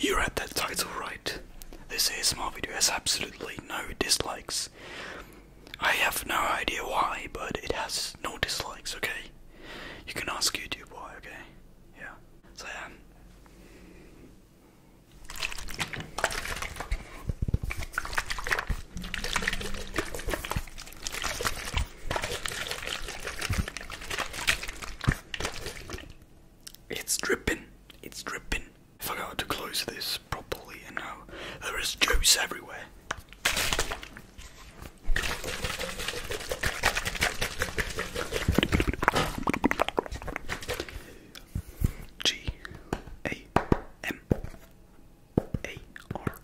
You read that title right. This ASMR video has absolutely no dislikes. I have no idea why, but it has no dislikes, okay? You can ask YouTube why, okay? Yeah. So, yeah. It's dripping. It's dripping. I forgot to close this properly, and now there is juice everywhere. G A M A R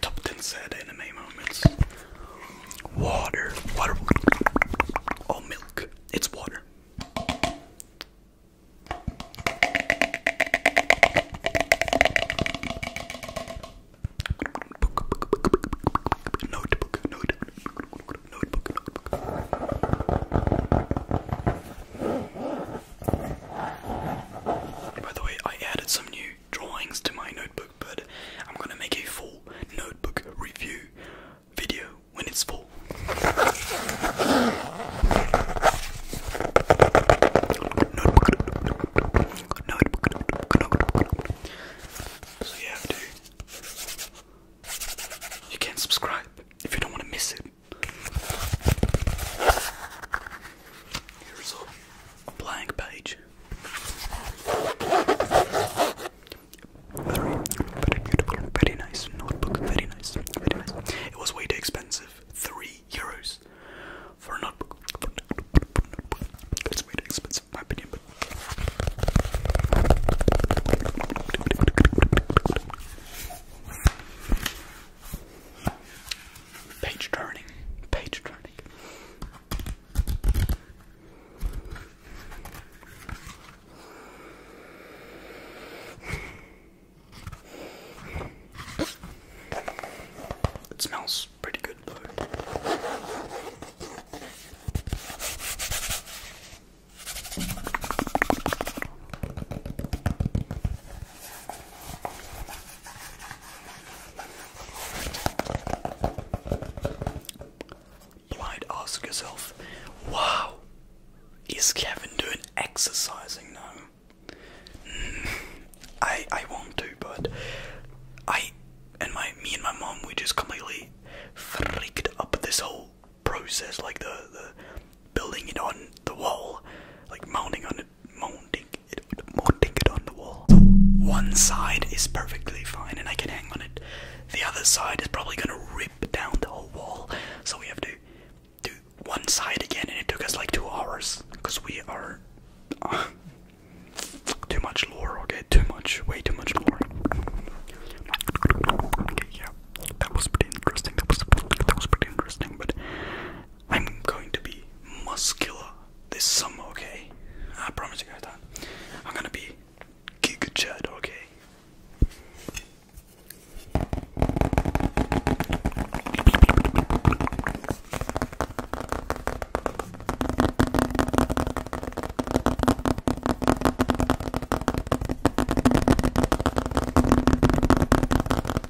Top 10 said anime moments. Water. Water. Oh, milk. It's water. notebook, notebook by the way, I added some new drawings to my notebook, but I'm gonna make a full notebook review video when it's full. So you have You can subscribe if you don't want to miss it. Here's a blank page. Very, very beautiful, very nice notebook, very nice, very nice. It was way too expensive, three euros for a notebook. For way too expensive, in my opinion. Page turning. Page turning. It smells pretty good though. Blind ask yourself, wow, is Kevin doing exercising now? Mm, I won't do, but I and my me and my mom we just completely freaked up this whole process, like the the building it on the wall, like mounting on it mounting it, mounting it on the wall. one side is perfectly fine and I can hang on it. The other side is probably gonna rip down the whole wall. So we have to do one side again and it took us like two hours because we are uh, too much lore, okay? Too much, way too much lore. Okay, yeah, that was pretty interesting. That was that was pretty interesting, but I'm going to be muscular this summer, okay? I promise you guys that. I'm gonna be giga okay?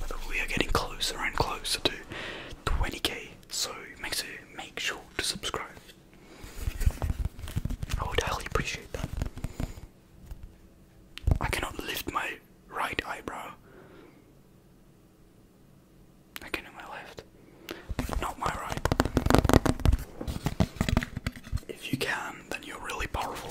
But we are getting closer and closer to 20k, so make sure, make sure to subscribe. I would highly appreciate that. I cannot lift my right eyebrow. I can do my left, not my right. If you can, then you're really powerful.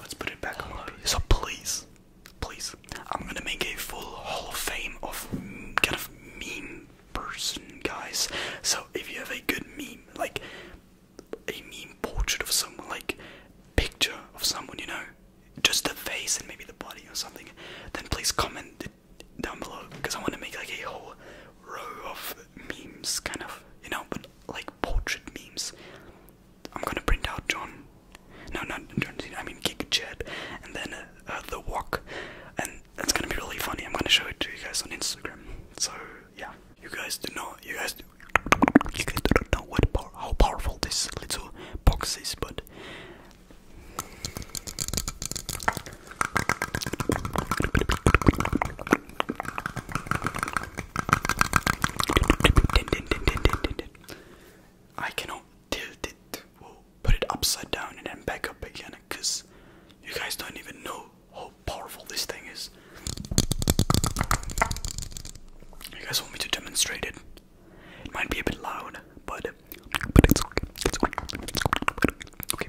Let's put it back on. So please, please, I'm gonna make a full Hall of Fame of kind of meme person, guys. So if you have a good meme, like a meme portrait of someone, like picture of someone, you know, just the face and maybe the body or something, then please comment it down below because I want to make like a whole row of memes, kind of, you know, like portrait memes. I'm gonna print out John. No, not John Cena. I mean Giga Chad, and then uh, the Walk, and that's gonna be really funny. I'm gonna show it to you guys on Instagram. So yeah, you guys do know. You guys, do, you guys do know what how powerful this little box is, but. I cannot tilt it or put it upside down and then back up again because you guys don't even know how powerful this thing is. You guys want me to demonstrate it? It might be a bit loud, but but It's okay. okay.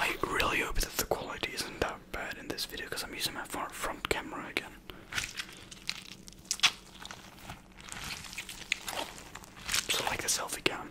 I really hope that the quality isn't that bad in this video because I'm using my front, front camera again. So like a selfie cam.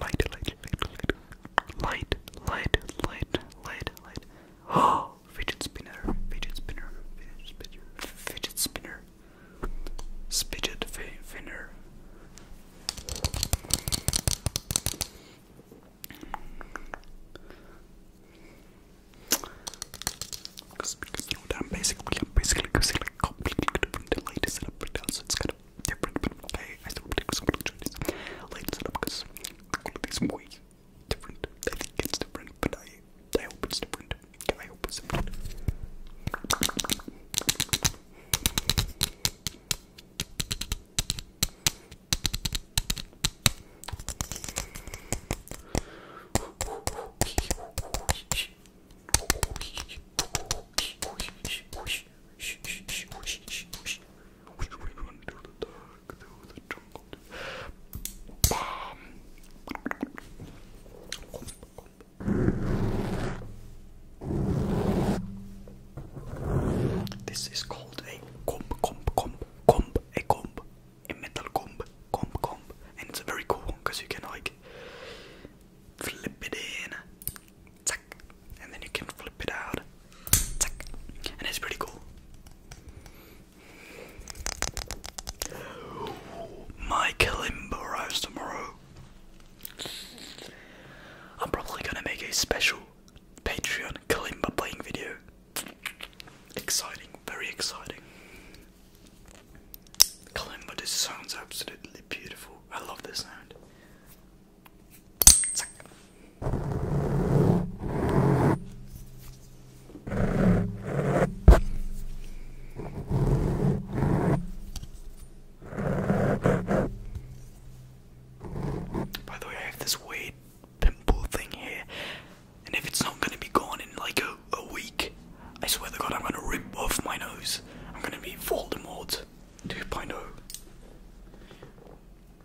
light, light, light, light, light, light, light. Oh, fidget spinner, fidget spinner, fidget spinner, fidget spinner, fidget spinner. Because, because you know, I'm basically, I'm basically, basically completely different. The light is set up right now, so it's kind of different, but okay, I still predict some of choices. Lighten it up because quality's way different. I think it's different, but I, I hope it's different. I hope it's different. Into the dark, through the jungle. This is called a comb, comb, comb, comb, a comb, a metal comb, comb, comb, and it's a very cool one because you can like flip it in, zack, and then you can flip it out, and it's pretty cool. My Kalimba arrives tomorrow. I'm probably gonna make a special Patreon Kalimba playing video. Exciting, very exciting. Kalimba just sounds absolutely beautiful. I love this sound. By the way, I have this weird pimple thing here, and if it's not going to be gone in like a, a week, I swear to God, I'm going to rip off my nose. I'm going to be Voldemort 2.0.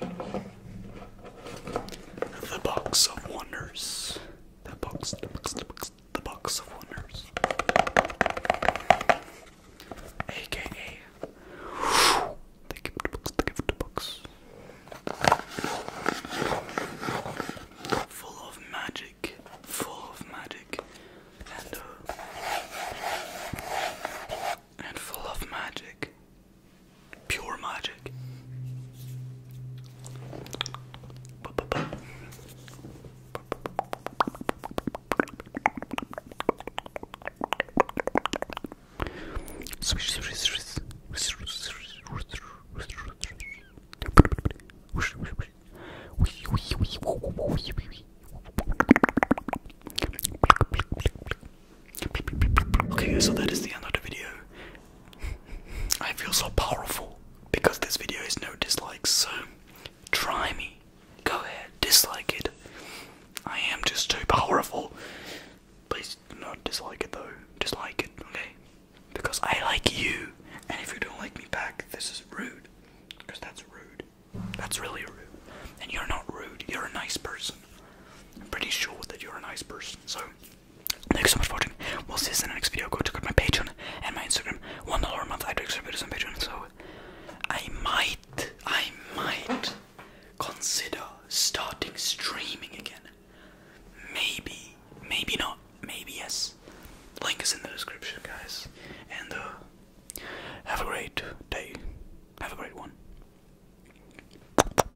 The Box of Wonders. The box, the box, the box, the box of wonders. AKA the gift box, the gift box. Full of magic, full of magic, and uh, full of magic. Pure magic. Ba -ba -ba. Swish, swish, swish. Okay, so that is the end of the video. I feel so powerful because this video has no dislikes, so try me. Go ahead, dislike it. I am just too powerful. Please do not dislike it though. Dislike it, okay? Because I like you. And if you don't like me back, this is rude. Because that's rude. That's really rude. And you're not rude, you're a nice person. I'm pretty sure that you're a nice person, so Thanks so much for watching. We'll see you in the next video. Go check out my Patreon and my Instagram. One dollar a month I do extra videos on Patreon, so I might, I might consider starting streaming again. Maybe, maybe not, maybe yes. Link is in the description, guys. And uh, have a great day. Have a great one.